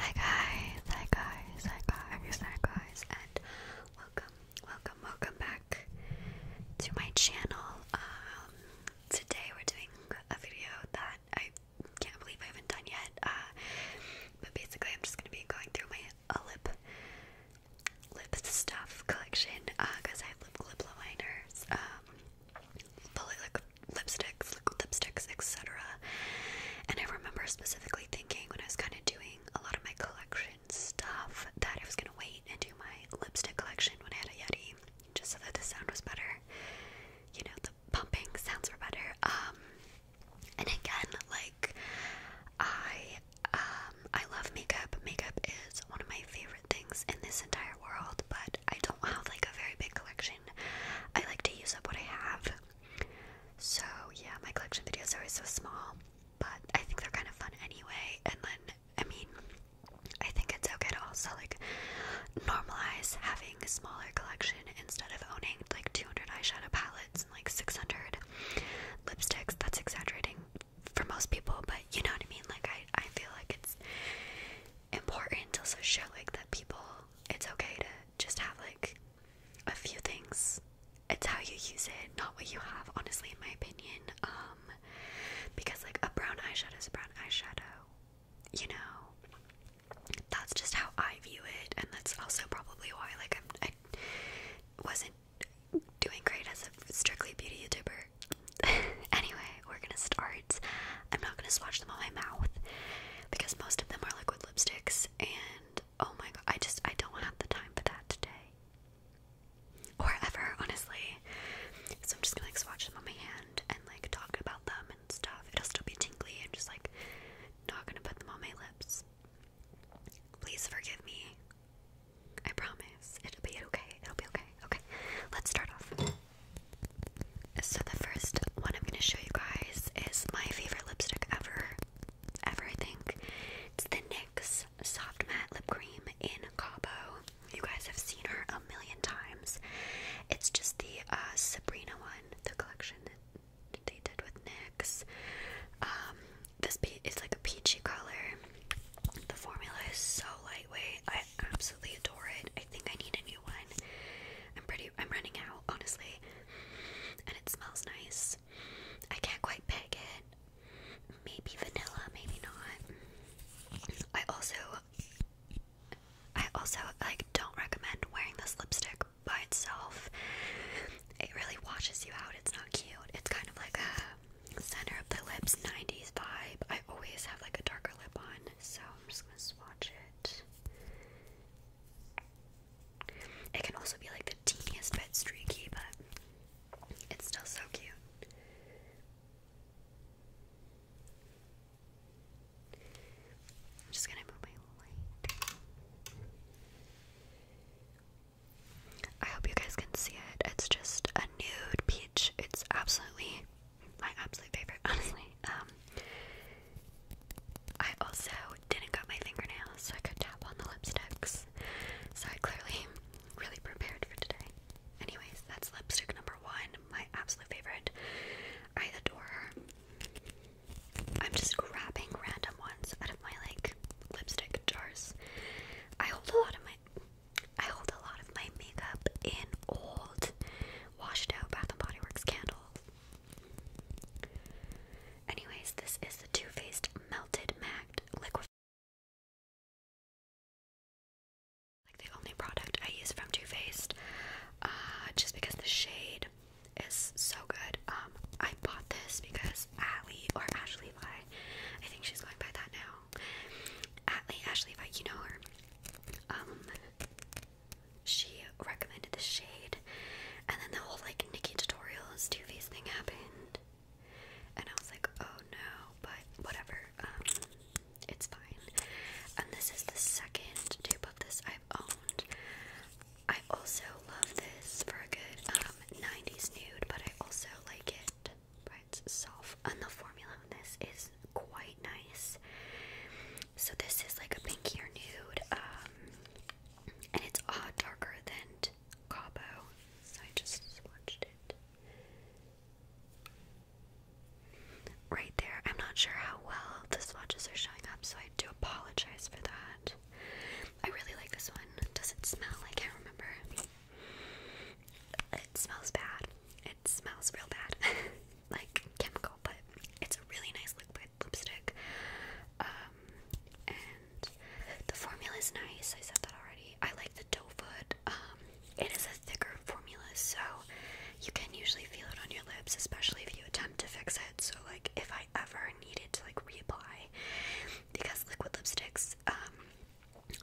Hi guys, hi guys, hi guys, hi guys, and welcome, welcome, welcome back to my channel. Um, today we're doing a video that I can't believe I haven't done yet. Uh, but basically, I'm just gonna be going through my uh, lip, lip stuff collection because uh, I have lip lip liners. Um, probably like lipsticks, liquid lipsticks, etc. And I remember specifically thinking when I was kind of doing a lot of my collection stuff that I was gonna wait and do my lipstick collection when I had a Yeti, just so that the sound was better. You know, the pumping sounds were better. Um, and again, like I, um, I love makeup. Makeup is one of my favorite things in this entire world, but I don't have like a very big collection. I like to use up what I have. So yeah, my collection videos are always so small, but I think they're kind of fun anyway. And then, I mean, I think it's okay to also like normalize having a smaller collection instead of owning like 200 eyeshadow palettes and like 600 lipsticks. That's exaggerating for most people, but you know what I mean? Like, I, I feel like it's important to also show like that people, it's okay to just have like a few things. It's how you use it, not what you have, honestly, in my opinion. Um, because like a brown eyeshadow is a brown eyeshadow, you know. That's just how I view it, and that's also probably why like I'm, I i was not doing great as a strictly beauty YouTuber. anyway, we're gonna start. I'm not gonna swatch them on my mouth because most of them are liquid lipsticks and oh my god, I just I don't want to have the time for that today. Or ever, honestly. So I'm just gonna like swatch them on my hand and like talk about them and stuff. It'll still be tingly and just like not gonna put them on my lips. Please forgive me. I promise. It'll be okay. It'll be okay. Okay. Let's start off. So, the first one I'm going to show you guys is my favorite lipstick ever. Ever, I think. It's the NYX Soft Matte Lip Cream in Cabo. You guys have seen her a million times. It's just the uh, Sabrina one, the collection that they did with NYX. Um, this is like a peachy color. The formula is so lightweight. I absolutely adore it. I think I need a new one. I'm pretty I, am running out, honestly. And it smells nice. I can't quite pick it. Maybe vanilla, maybe not. I also I also like don't recommend wearing this lipstick by itself. It really washes you out. It's not cute. It's kind of like a center of the lips 90s vibe. I always have like a darker lip on, so I'm just gonna swatch it. It can also be like the teeniest bit streaky, but it's still so cute. I'm just gonna move my light. I hope you guys can see it. It's just a nude peach. It's absolutely my absolute favorite, honestly. Um, I also didn't cut my fingernails so I could tap on the lipsticks. So I clearly really prepared for today. Anyways, that's lipstick number one, my absolute favorite. I adore her. I'm just grabbing random ones out of my like lipstick jars. I hold a lot of my I hold a lot of my makeup in old washed out Bath and Body Works candles. Anyways, this is the Too Faced Melted Magged Liquid. Like the only product I use from Too Faced, uh, just because the shade is so good. Um, I bought this because Atlee or Ashley Vi, I think she's going by that now. Atlee, Ashley you know her. Um, she recommended the shade, and then the whole like Nikki tutorials Too Faced thing happened, and I was like, oh no, but whatever, um, it's fine. And this is the second tube of this I've owned. I also love this for a good um, 90s nude, but I also like it It's soft, And the formula on this is quite nice. So this is like a pinkier nude, um, and it's a darker than Cabo. So I just swatched it right there. I'm not sure how well the swatches are showing up, so I do apologize for that. I really like this one. Does it smell? I can't remember. It smells bad. It smells real bad, like chemical, but it's a really nice liquid lipstick. Um, and the formula is nice. I said that already. I like the doe foot. Um, it is a thicker formula, so you can usually feel it on your lips, especially if you attempt to fix it. So, like, if I ever needed to like reapply, because liquid lipsticks, um,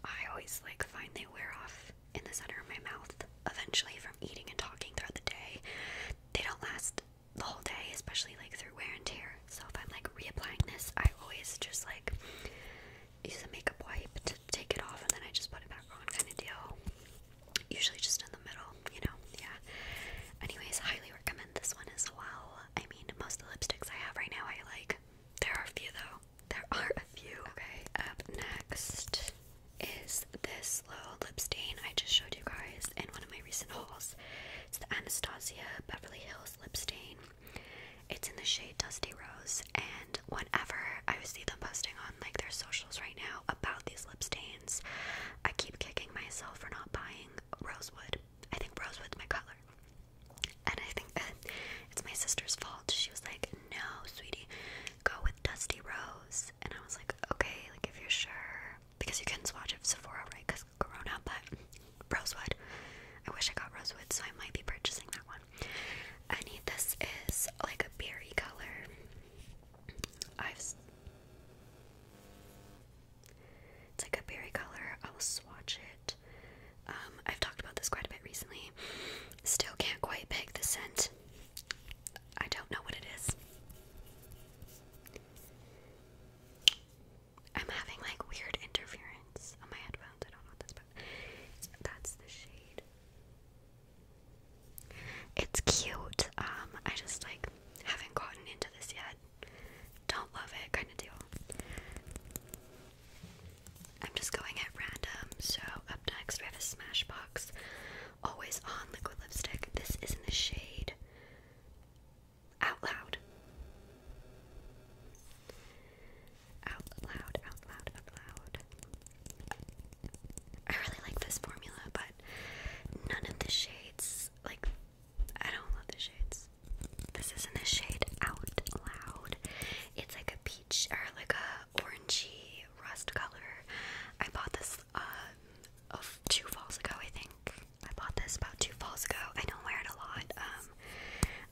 I always like find they wear off in the center of my mouth eventually from eating and talking throughout the day. They don't last the whole day, especially like through wear and tear. So if I'm like reapplying this, I always just like use a makeup wipe to take it off and then I just put it back on kind of deal. Usually just in the middle, you know, yeah. Anyways, highly recommend this one as well. I mean, most of the lipsticks I have right now I like. There are a few though. There are a few. Okay, up next is this little lip stain I just showed you guys in one of my recent hauls. It's the Anastasia Beverly Hills lip stain. It's in the shade Dusty Rose, and whenever I see them posting on like their socials right now about these lip stains, I keep kicking myself for not buying rosewood. I think rosewood's my color. And I think it's my sister's fault. She was like, "No, sweetie, go with Dusty Rose." and I was like, okay, like if you're sure, because you can swatch it Sephora, right? Because Corona, but rosewood. I wish I got rosewood, so I might be purchasing that one. I need this is like a berry color. I've it's like a berry color. I'll swatch it. Um, I've talked about this quite a bit recently. Still can't quite pick the scent. I don't know what it is. I'm having like weird interference on my headphones. I don't know what that's about. That's the shade. It's cute. Um, I just like haven't gotten into this yet. Don't love it, kind of deal. I'm just going at random. So up next we have a Smashbox Always On Liquid Lipstick. This is in the shade Out Loud. Out Loud, Out Loud, Out Loud. I really like this formula, but none of the shades, like, I don't love the shades. This is in the shade Out Loud. It's like a peach, or like a orangey rust color. I bought this um, two falls ago, I think. I bought this about two falls ago. I don't wear it a lot. Um,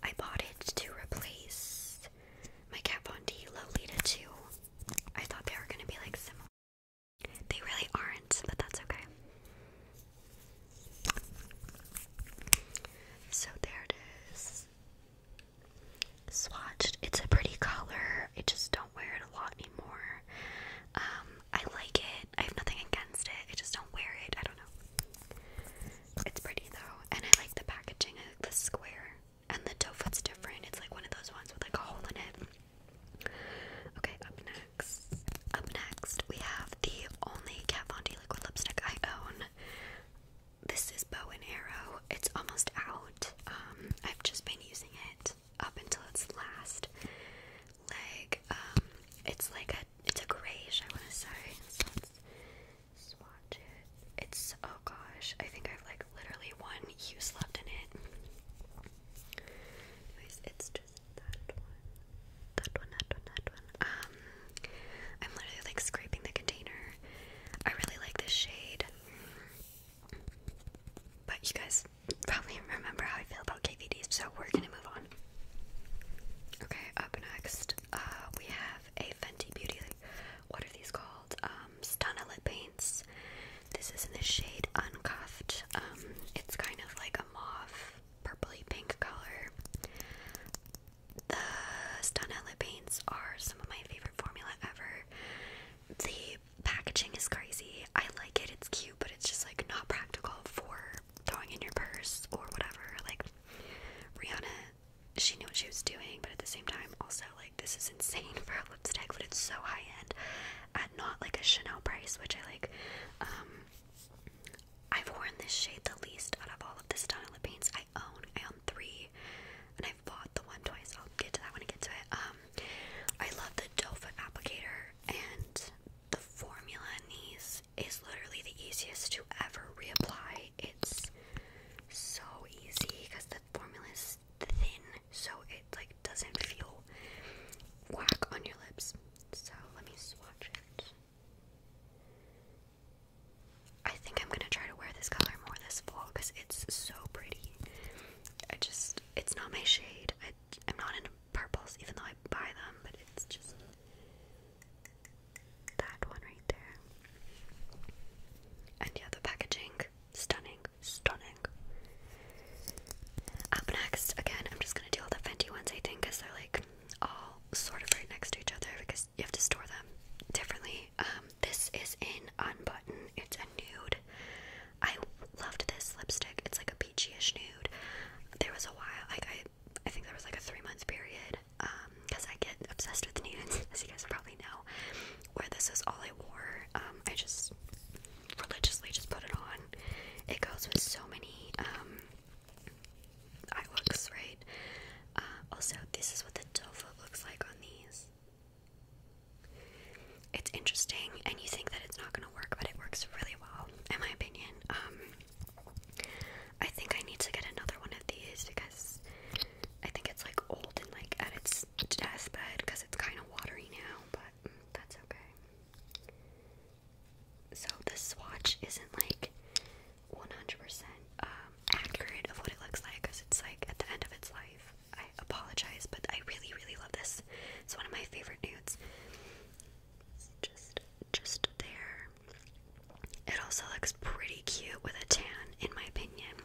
I bought it to replace my Kat Von D Lolita too. I thought they were going to be like similar. They really aren't, but that's okay. So there it is swatched. It's a pretty color. I just don't wear it a lot anymore. Um, I like it. I have nothing against it. I just don't wear it. I don't know. It's pretty though, and I like the packaging. the square, and the toe foot's different. It's like one of those ones with like a hole in it. Okay, up next. Up next, we have the only Kat Von D liquid lipstick I own this is Bow and Arrow. It's almost out. Um, I've just been using it up until its last leg. Um, it's like a it's a grayish. I want to say. So It's oh gosh. I think I've like literally one use left in it. Anyways, it's just that one. That one, that one, that one. Um, I'm literally like scraping the container. I really like this shade. But you guys probably remember how I feel about KVDs, so we're gonna move on. Okay, up next, uh, we have a Fenty Beauty. What are these called? Um, Stunna lip paints. This is in the shade Uncuffed. Um, it's kind of like a mauve, purpley pink color. The Stunna lip paints are some of my favorite formula ever. The packaging is crazy. I like it, it's cute, but it's just like not practical for throwing in your purse or whatever. Like, Rihanna, she knew what she was doing, but at the same time, also, like, this is insane for a lipstick, but it's so high end at not like a Chanel price, which I like. Um, I've worn this shade the least out of all of the Stunna lip paints. I I own. I three, and i bought the one twice. I'll get to that when I get to it. Um, I love the doe foot applicator, and the formula in these is literally the easiest to ever reapply. It's so easy because the formula is thin, so it like doesn't feel whack on your lips. So let me swatch it. I think I'm gonna try to wear this color more this fall because it's so pretty. I just, it's not my shade. I, am not into purples, even though I buy them, but it's just that one right there. And yeah, the packaging, stunning, stunning. Up next, again, I'm just gonna do all the Fenty ones, I think, because they're like all sort of right next to each other because you have to store them differently. Um, this is in Unbutton. It's a nude. I loved this lipstick. It's like a peachyish nude. There was a while, like I, I think there was like a three month period, um, because I get obsessed with nudes, as you guys probably know, where this is all I wore. Um, I just religiously just put it on. It goes with so many um eye looks, right? Uh, also, this is what the tofu looks like on these. It's interesting, and you think that it's not going to work, but it works really well, in my opinion. Um, I think I need to get another one of these because I think it's like old and like at its deathbed because it's kind of watery now, but that's okay. So, the swatch isn't like 100% um, accurate of what it looks like because it's like at the end of its life. I apologize, but I really, really love this. It's one of my favorite nudes. It's just, just there. It also looks pretty cute with a tan, in my opinion.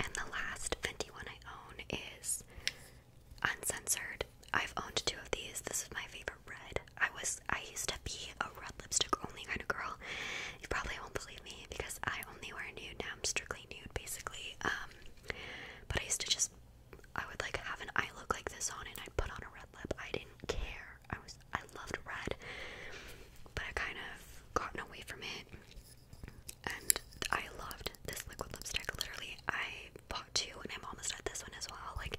And the last Fenty one I own is Uncensored. I've owned two of these. This is my favorite red. I was I used to be a red lipstick only kind of girl. You probably won't believe me because I only wear nude now. I'm strictly nude basically. Um, but I used to just I would like have an eye look like this on and I'd put on a red lip. I didn't care. I was I loved red. But I kind of gotten away from it. And I loved this liquid lipstick. Literally, I bought two, and I'm almost got this one as well. Like,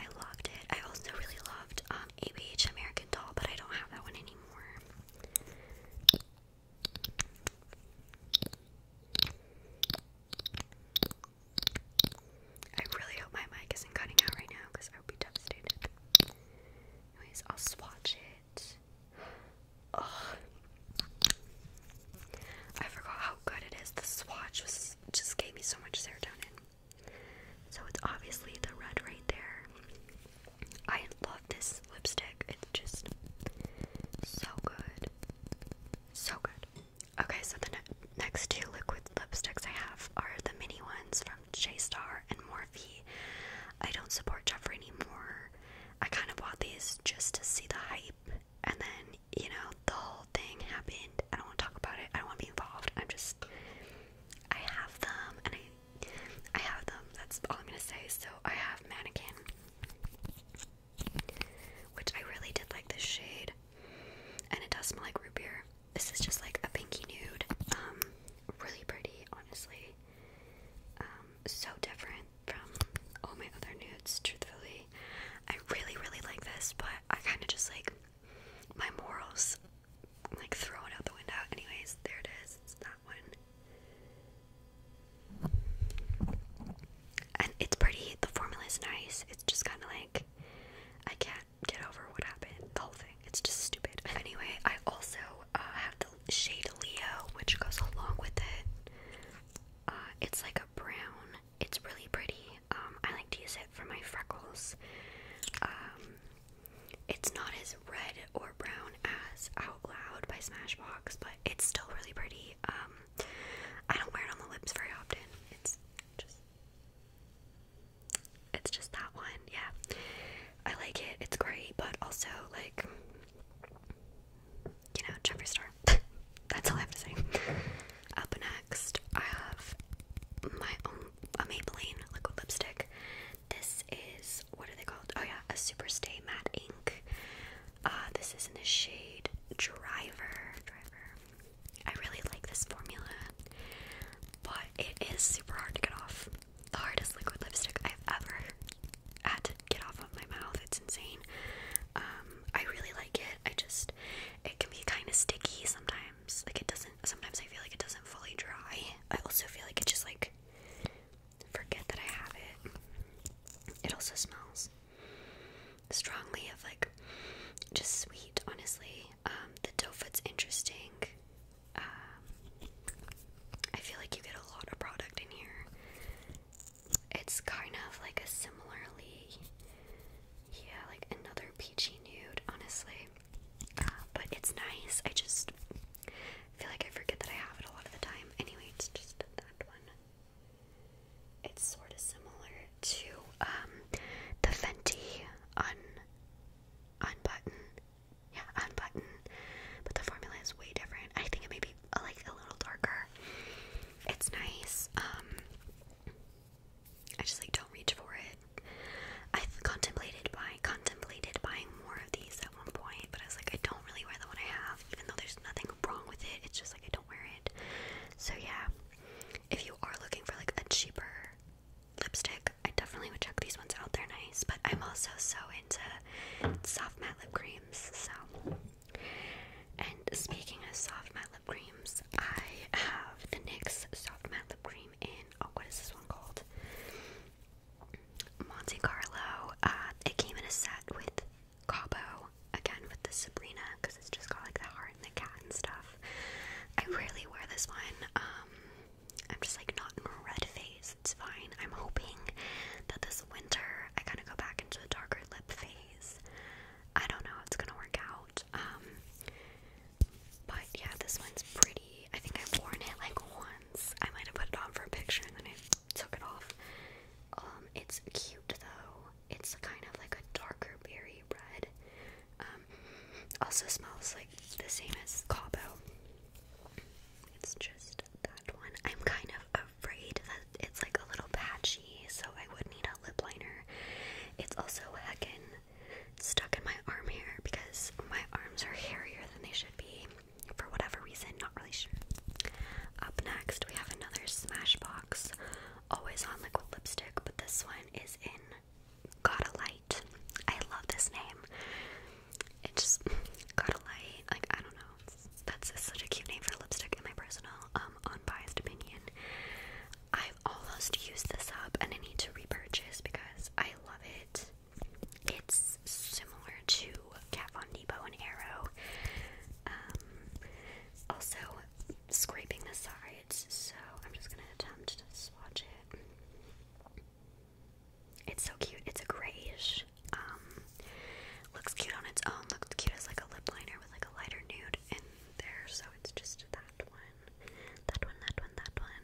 I loved it. I also really love um, ABH American Doll, but I don't have that one anymore. I really hope my mic isn't cutting out right now because I would be devastated. Anyways, I'll swatch it. I forgot how good it is. The swatch just gave me so much serotonin. So it's obviously the red right there. I love this lipstick. It's just so good. So good. Okay, so the next two liquid lipsticks I have are the mini ones from J Star and Morphe. I don't support Jeffree anymore. I kind of bought these just to see the hype, and then, you know, the whole thing happened. I don't want to talk about it. I don't want to be involved. I'm just I have them and I I have them. That's all I'm gonna say. So I have mannequin, which I really did like this shade, and it does smell like root beer. This is just like a pinky nude. Um, really pretty, honestly. Um, so different from all my other nudes. Truthfully, I really really like this, but I kind of just like my morals like throw it out the window. Anyways, there it is. It's that one. And it's pretty. The formula's nice. It's just kind of like I can't get over what happened. The whole thing. It's just stupid. Anyway, I also uh, have the shade Leo, which goes along with it. Uh, it's like a brown. It's really pretty. Um, I like to use it for my freckles. Um, it's not as red or brown as Out Loud by Smashbox, but it's still really pretty. Um, I don't wear it on the lips very often. It's just, it's just that one. Yeah, I like it. It's great, but also like, you know, Jeffree Star. That's all I have to say. Up next, I have my own a Maybelline liquid lipstick. This is what are they called? Oh yeah, a Super Stay Matte Ink. Uh, this is in the shade Driver. Driver. I really like this formula, but it is super hard to get off. The hardest liquid lipstick I've ever had to get off of my mouth. It's insane. Um, I really like it. I just it can be kind of sticky sometimes. Like it doesn't sometimes I feel like it doesn't fully dry. I also feel like it just like forget that I have it. It also smells strongly of like just sweet, honestly. Um, the dough foot's interesting. Um, I feel like you get a lot of product in here. It's kind of like a similarly yeah, like another peachy nude, honestly but it's nice. I just feel like I forget that I have it a lot of the time. Anyway, it's just that one. It's sort of similar to um, the Fenty un unbutton, yeah, unbutton. But the formula is way different. I think it may be like a little darker. It's nice. Um, I just like don't reach for it. I contemplated buying contemplated buying more of these at one point, but I was like, I don't really wear the one I have, even though there's nothing wrong with it. It's just like I don't wear it. So yeah, if you are looking for like a cheaper lipstick, I definitely would check these ones out. They're nice, but I'm also so into soft matte lip creams. So, and speaking of soft matte lip creams, I have the NYX soft matte lip cream in oh what is this one called? Monte Carlo. Uh, it came in a set with Cabo again with the Sabrina because it's just got like the heart and the cat and stuff. I rarely wear this one. Um, I'm just like not in a red phase. It's fine. I'm hoping that this winter I kind of go back into the darker lip phase. I don't know. how It's gonna work out. Um, but yeah, this one's pretty. I think I've worn it like once. I might have put it on for a picture and then took it off. Um, it's cute though. It's kind of like a darker berry red. Um, also smells like the same as Cabo. It's just that one. I'm kind of afraid that it's like a little patchy, so I would need a lip liner. It's also heckin' stuck in my arm hair because my arms are hairier than they should be for whatever reason, not really sure. Up next, we have another Smashbox Always On Liquid Lipstick, but this one is in Gotta Light. I love this name. It just Gotta Light, like I don't know. That's such a cute name for lipstick in my personal, um, unbiased opinion. I've almost used this up and I need to repurchase because I love it. It's similar to Kat Von D Bow and Arrow. Um, also, scraping the sides, so I'm just gonna attempt to swatch it. It's so cute. It's a grayish. Um, looks cute on its own. Looks cute as like a lip liner with like a lighter nude in there. So it's just that that one, that one, that one, that one.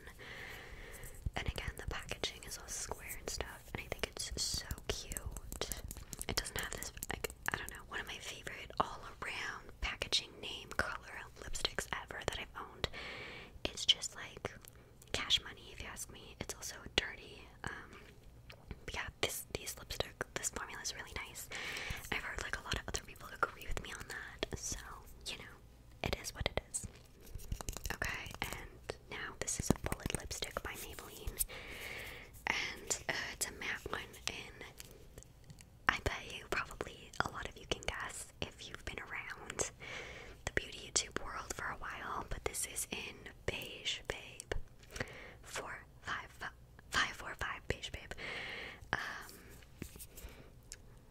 And again, the packaging is all square and stuff, and I think it's so cute. It doesn't have this, like, I don't know, one of my favorite all around packaging name color lipsticks ever that I've owned. It's just like cash money, if you ask me. It's also dirty. Um, yeah, this these lipstick, this formula is really nice. I've heard like a lot of other people agree with me on that, so you know, it is what it is. Okay, and now this is a bullet lipstick by Maybelline, and uh, it's a matte one. And I bet you probably a lot of you can guess if you've been around the beauty YouTube world for a while. But this is in beige, babe. Four, five, five, five, four, five, beige, babe. Um,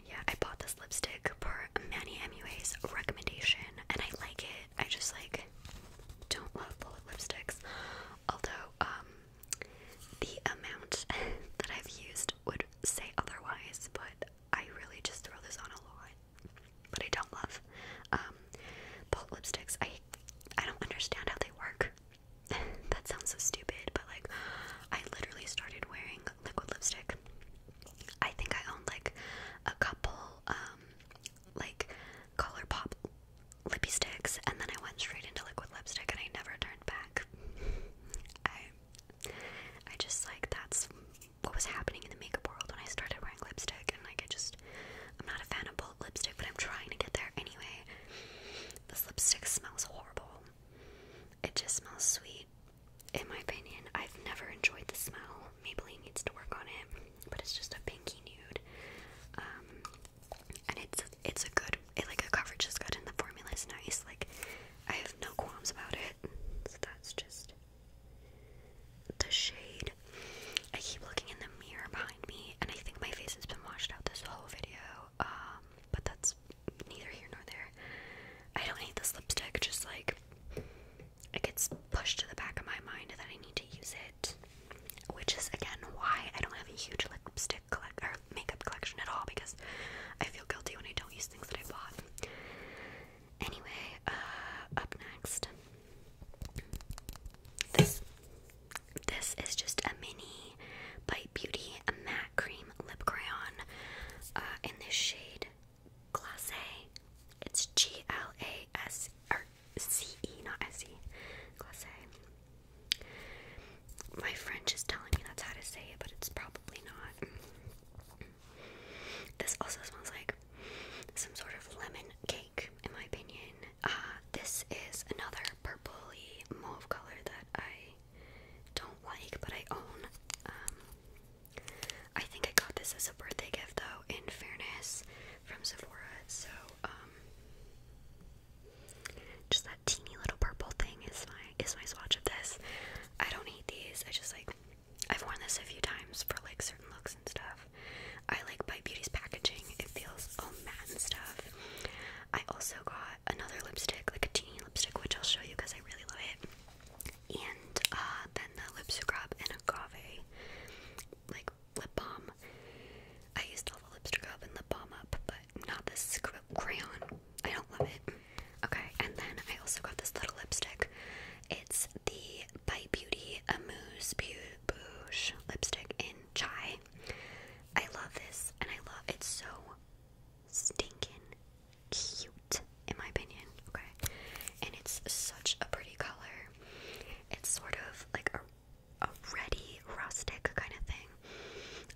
yeah, I bought this lipstick per Manny MUA's recommendation, and I like it. I just like don't love bullet lipsticks, although um, the amount that I've used would say otherwise. But I really just throw this on a lot. But I don't love um, bullet lipsticks. I I don't understand how they work. that sounds so stupid, but like I literally started wearing liquid lipstick. I think I owned like a couple um like ColourPop lippy sticks and then I went straight into liquid lipstick and I never turned back. I I just like that's what was happening in the makeup world when I started wearing lipstick and like I just I'm not a fan of bold lipstick but I'm trying to get there anyway. This lipstick smells horrible. It just smells sweet. In my opinion, I've never enjoyed the smell. Maybelline needs to work on it, but it's just a pinky nude, um, and it's it's a good it, like a coverage is good and the formula is nice. Like I have no qualms about it. So that's just the shade. I keep looking in the mirror behind me, and I think my face has been washed out this whole video. Um, but that's neither here nor there. I don't hate this lipstick, just like it gets pushed to the back of my mind that I need to use it, which is again why I don't have a huge lipstick or makeup collection at all because I feel guilty when I don't use things that I bought. Anyway, uh, up next, this this is just a mini Bite Beauty matte cream lip crayon uh, in this shade Glace. It's G L A S or C E, not S E. Glace. My French is telling me that's how to say it, but it's probably not. This also smells like some sort of lemon cake, in my opinion. Uh, this is another purpley mauve color that I don't like, but I own. Um, I think I got this as a birthday gift, though, in fairness, from Sephora. So, um, just that teeny little purple thing is my is my swatch of this. I don't hate these. I just like I've worn this a few times for like certain looks and stuff. I like buy Beauty's packaging. It feels all matte and stuff. I also got another lipstick, like a teeny lipstick, which I'll show you because I really love it. And uh, then the lipstick scrub and agave, like lip balm. I used all the lipstick scrub and lip balm up, but not this crayon. I don't love it. Okay, and then I also got this little lipstick. It's the By Beauty Amuse Bouge lipstick in Chai. I love this, and I love it's so stinking cute, in my opinion. Okay, and it's such a pretty color. It's sort of like a, a ready rustic kind of thing.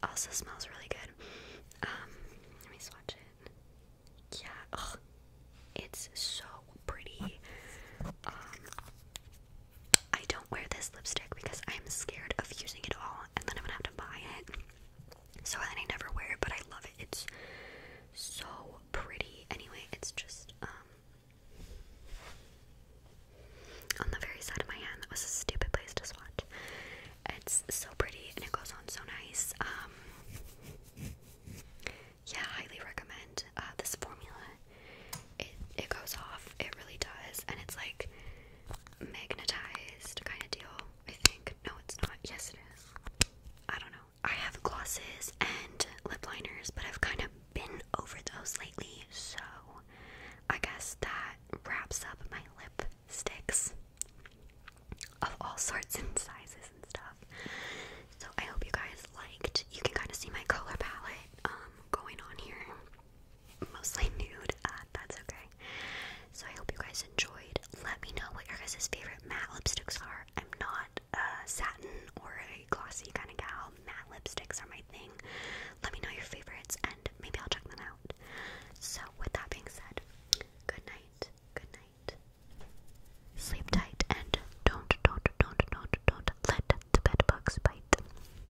Also smells really good. Um, let me swatch it. Yeah, it's so pretty. Um, I don't wear this lipstick because I'm scared of using it all and then I'm gonna have to buy it. So I never wear it, but I love it. It's so pretty. Anyway, it's just um on the very side of my hand. That was a stupid place to swatch. It's so pretty and it goes on so nice. Um yeah, highly recommend uh, this formula. It it goes off. It really does, and it's like magnetized kind of deal, I think. No, it's not. Yes, it is. I don't know. I have glosses and lip liners, but I've kind of been over those lately, so I guess that wraps up my lipsticks of all sorts and sizes and stuff. So I hope you guys liked. You can kind of see my color palette um, going on here mostly nude. Uh, that's okay. So I hope you guys enjoyed. Let me know what your guys' favorite matte lipsticks are. I'm not a satin or a glossy kind of gal. Matte lipsticks are my thing. Let me know your favorites and maybe I'll check them out. So with that being said, good night. Good night. Sleep tight and don't, don't, don't, don't, don't let the bed bugs bite.